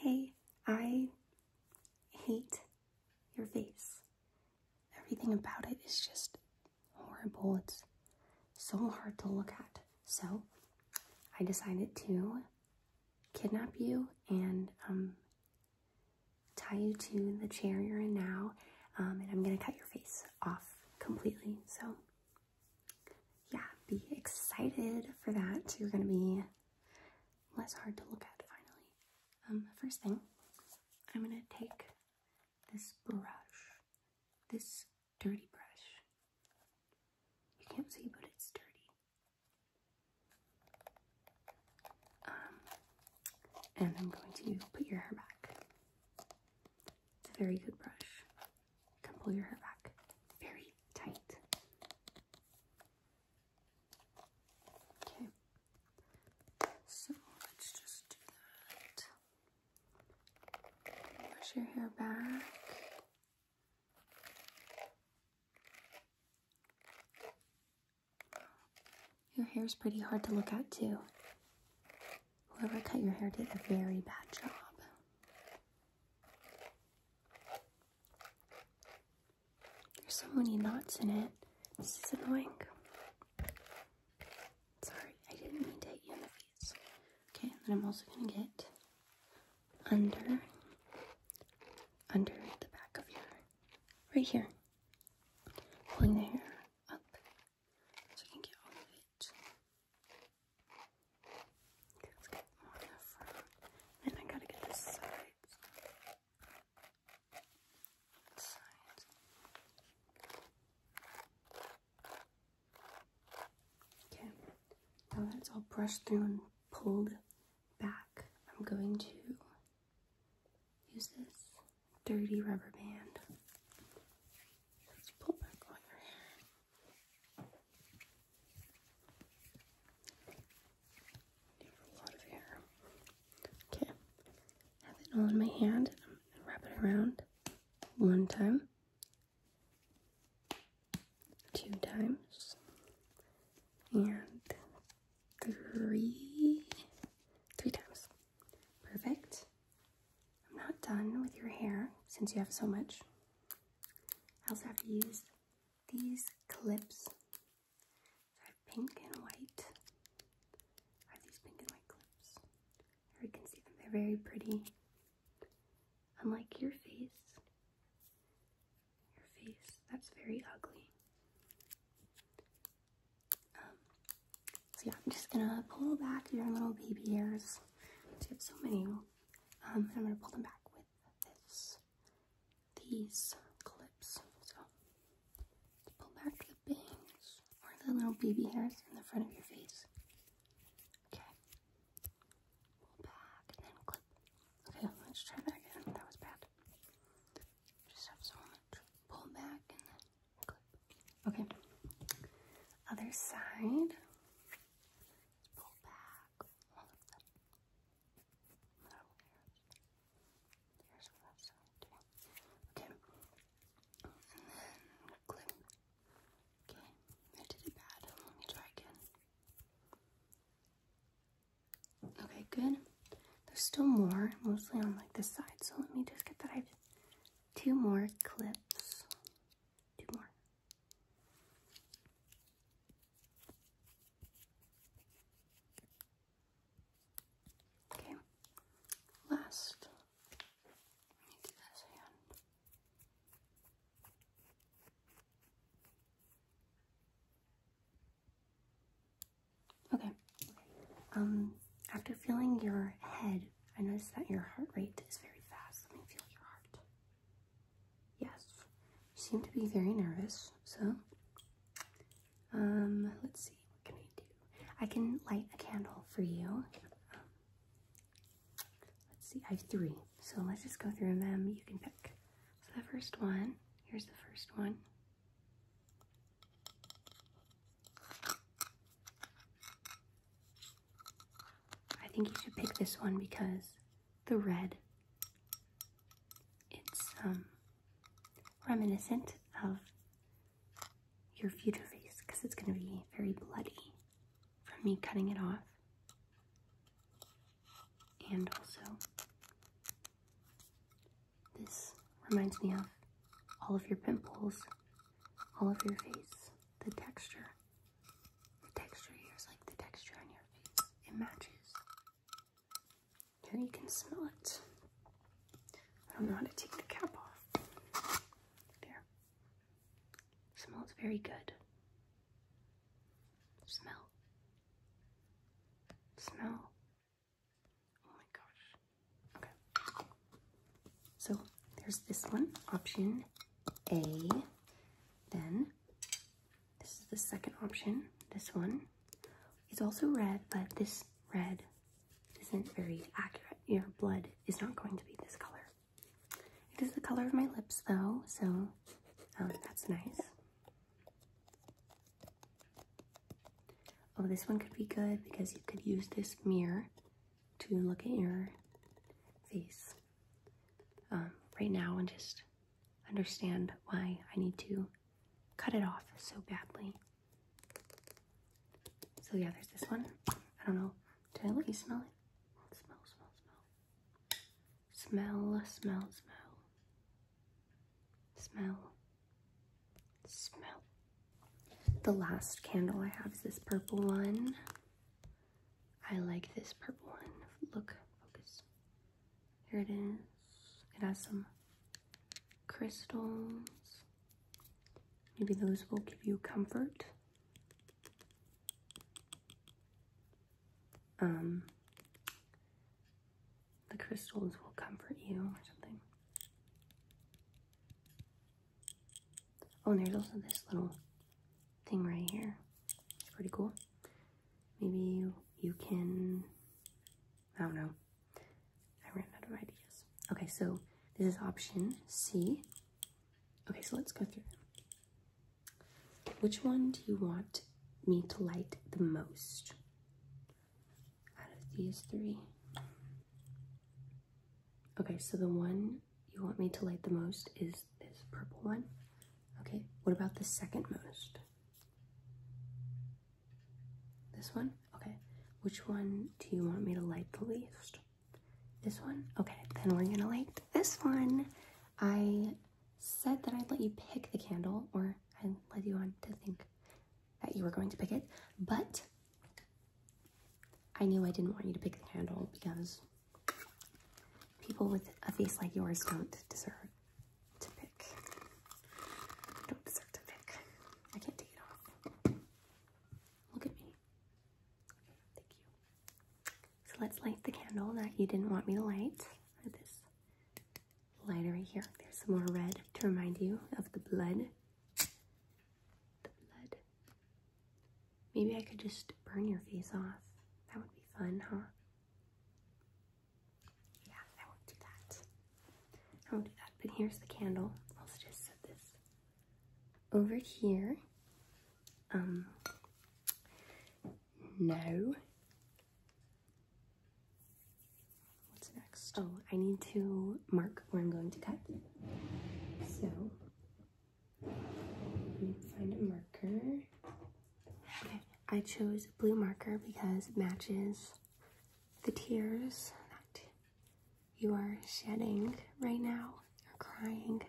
Hey, I hate your face. Everything about it is just horrible. It's so hard to look at. So I decided to kidnap you and um, tie you to the chair you're in now. Um, and I'm going to cut your face off completely. So yeah, be excited for that. You're going to be less hard to look at finally. Um, first thing, I'm gonna take this brush, this dirty brush. You can't see, but it's dirty. Um, and I'm going to put your hair back. It's a very good brush. can pull your hair back very tight. Okay, so let's just do that. Push your hair back. Your hair is pretty hard to look at, too. Whoever cut your hair did a very bad job. There's so many knots in it. This is annoying. Sorry, I didn't mean to hit in the face. Okay, then I'm also gonna get under under the back of your right here. Pulling the hair up so you can get all of it. Let's get more in the front. Then I gotta get The sides. Okay, now that it's all brushed through and pulled back, I'm going to use this dirty rubber band. Let's pull back on your hair. You have a lot of hair. Okay. Have it all in my hand. I'm gonna wrap it around one time, two times, and three, three times. Perfect. I'm not done with your hair since you have so much. I also have to use these clips. are pink and white. I these pink and white clips. you can see them. They're very pretty. Unlike your face. Your face, that's very ugly. Um, so yeah, I'm just gonna pull back your little baby ears. So you have so many. Um, and I'm gonna pull them back with this these clips. So pull back the bangs or the little baby hairs in the front of your face. Okay. Pull back and clip. Okay, let's try that again. That was bad. Just have so Pull back and clip. Okay. Other side. Pull back. Okay, Okay, I did it bad. Let me try again. Okay, good. There's still more, mostly on like this side. So let me just get that. I have two more clips. Two more. Okay, last. Let Okay. Um, after feeling your head, I noticed that your heart rate is very fast. Let me feel your heart. Yes, you seem to be very nervous. So, um, let's see. What can I do? I can light a candle for you. Um, let's see. I have three. So let's just go through them. You can pick. So the first one. Here's the first one. I think you should pick this one because the red. It's um, reminiscent of your future face because it's going to be very bloody from me cutting it off. And also, this reminds me of all of your pimples, all of your face, the texture. The texture here is like the texture on your face. It matches. Here you can smell it. I don't know how to take the cap off. There. Smells very good. Smell. Smell. Oh my gosh. Okay. So there's this one, option A. Then this is the second option. This one is also red, but this red isn't very accurate. Your blood is not going to be this color. It is the color of my lips, though, so oh, that's nice. Oh, this one could be good because you could use this mirror to look at your face um, right now and just understand why I need to cut it off so badly. So yeah, there's this one. I don't know. Did I let you smell it? Smell, smell, smell. Smell, smell, smell. Smell. Smell. The last candle I have is this purple one. I like this purple one. Look, focus. Here it is. It has some crystals. Maybe those will give you comfort. Um, the crystals will comfort you or something. Oh, and there's also this little thing right here. It's pretty cool. Maybe you can, I don't know. I ran out of ideas. Okay, so this is option C. Okay, so let's go through Which one do you want me to light the most out of these three? Okay, so the one you want me to light the most is this purple one. Okay, what about the second most? This one? Okay. Which one do you want me to light the least? This one? Okay, then we're gonna light this one. I said that I'd let you pick the candle, or I led you on to think that you were going to pick it, but I knew I didn't want you to pick the candle because people with a face like yours don't deserve to pick. I don't deserve to pick. I can't take it off. Look at me. thank you. So let's light the candle that you didn't want me to light. This lighter right here. There's some more red to remind you of the blood. The blood. Maybe I could just burn your face off. That would be fun, huh? Yeah, I won't do that. I will do that. But here's the candle. I'll just set this over here. Um, no. What's next? Oh, I need to mark where I'm going to cut. So, find a marker. Okay, I chose blue marker because it matches the tears that you are shedding right now. You're crying.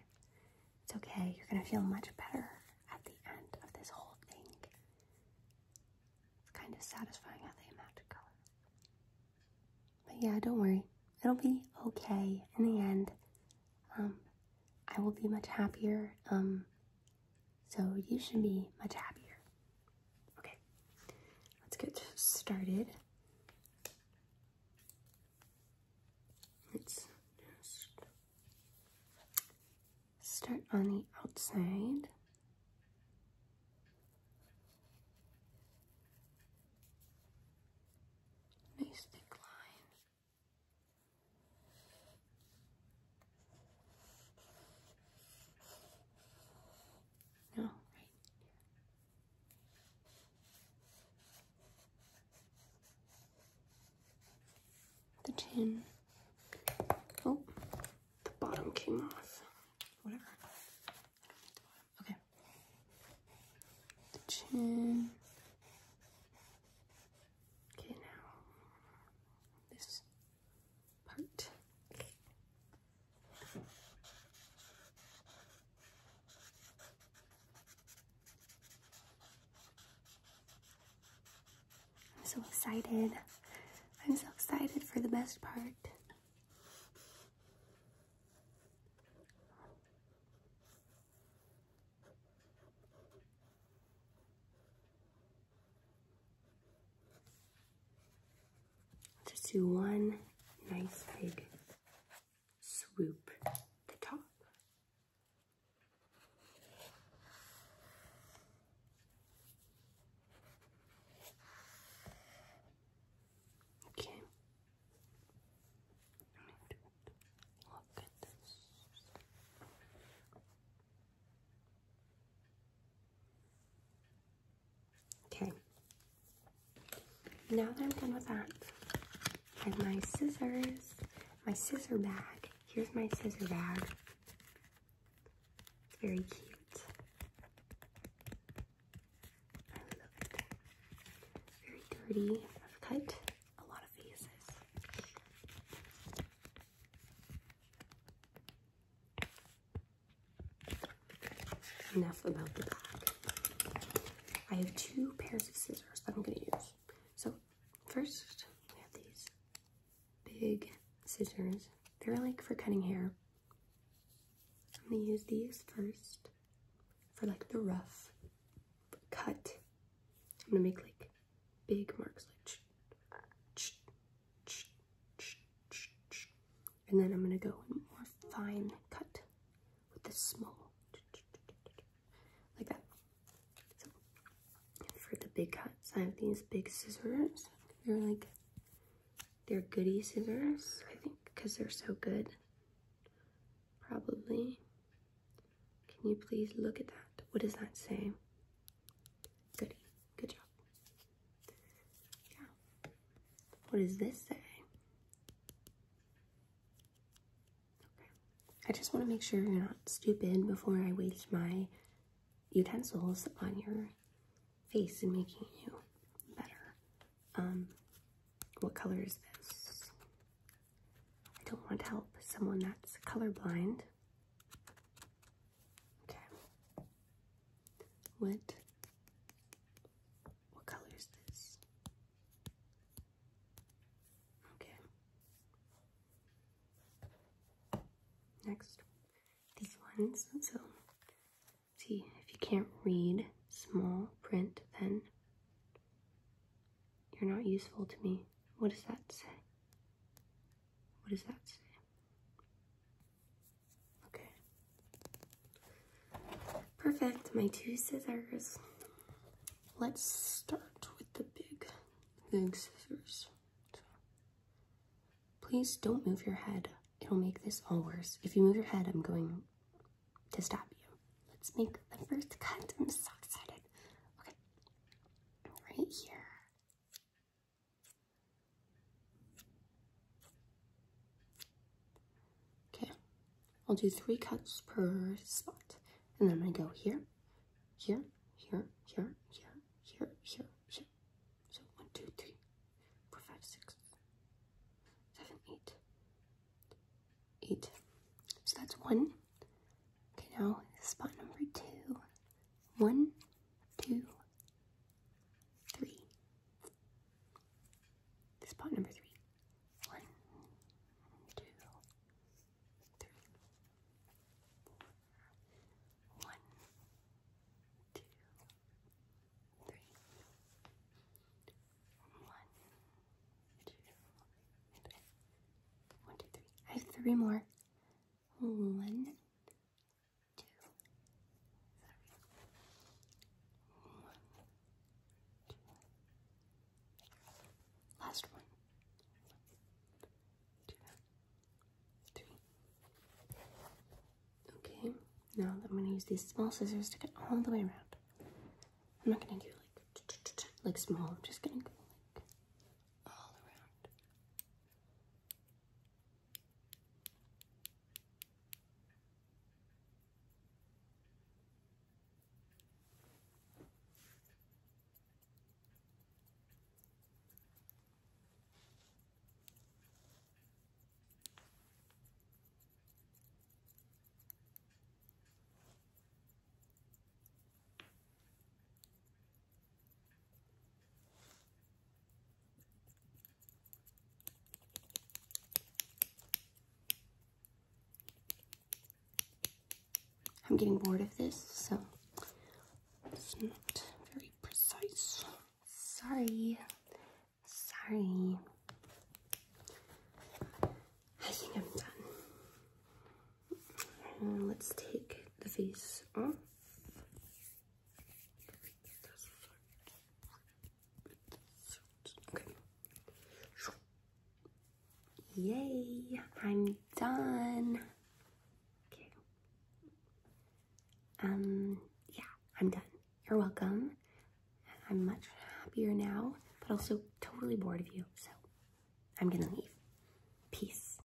It's okay. You're going to feel much better at the end of this whole thing. It's kind of satisfying how they match colors. But yeah, don't worry. It'll be okay in the end. Um, I will be much happier. Um, so you should be much happier. Okay, let's get started. Let's just start on the outside. Nice thick line. No, right The chin. Oh, the bottom came off. Whatever. Okay. The chin. Okay, now this part. I'm so excited. I'm so excited for the best part. Just do one nice big swoop the top. Okay. Look at this. Okay, now that I'm done with that, I have my scissors, my scissor bag. Here's my scissor bag. It's very cute. Very dirty. I've cut a lot of faces. Enough about the back. I have two pairs of scissors that I'm going to use. So, first, we have these big scissors. They're like for cutting hair. I'm going to use these first for like the rough cut. I'm going to make like big marks like and then I'm gonna go in more fine cut with the small like that. for the big cuts, I have these big scissors. They're like they're goody scissors, I think, because they're so good. Probably. Can you please look at that? What does that say? Goody. Good job. Yeah. What does this say? Okay. I just want to make sure you're not stupid before I waste my utensils on your face and making you better. Um, what color is this? I don't want to help someone that's colorblind. Okay. What what color is this? Okay. Next, these ones. So, see if you can't read small print, then you're not useful to me. What does that say? What does that say? Okay. Perfect, my two scissors. Let's start with the big, big scissors. Please don't move your head. It'll make this all worse. If you move your head, I'm going to stop you. Let's make the first cut. I'm so excited. Okay. Right here. Okay, I'll do three cuts per spot. And then I'm gonna go here, here, here, here, here, here, here, here. So one, two, three, four, five, six, seven, eight, eight. So that's one. Okay, now spot number two. One, two, three. This pot number three. One, two, three. One, two, three. One, two, three. I have three more. One, two, One, two. Last One, two, three. Okay, now I'm gonna use these small scissors to cut all the way around. I'm not gonna do like like small. I'm just gonna go like all around. I'm getting bored of this, so it's not very precise. Sorry. Sorry. I think I'm done let's take the face off. Yay, I'm done. Okay. Um, yeah, I'm done. You're welcome. I'm much happier now, but also totally bored of you, so I'm gonna leave. Peace.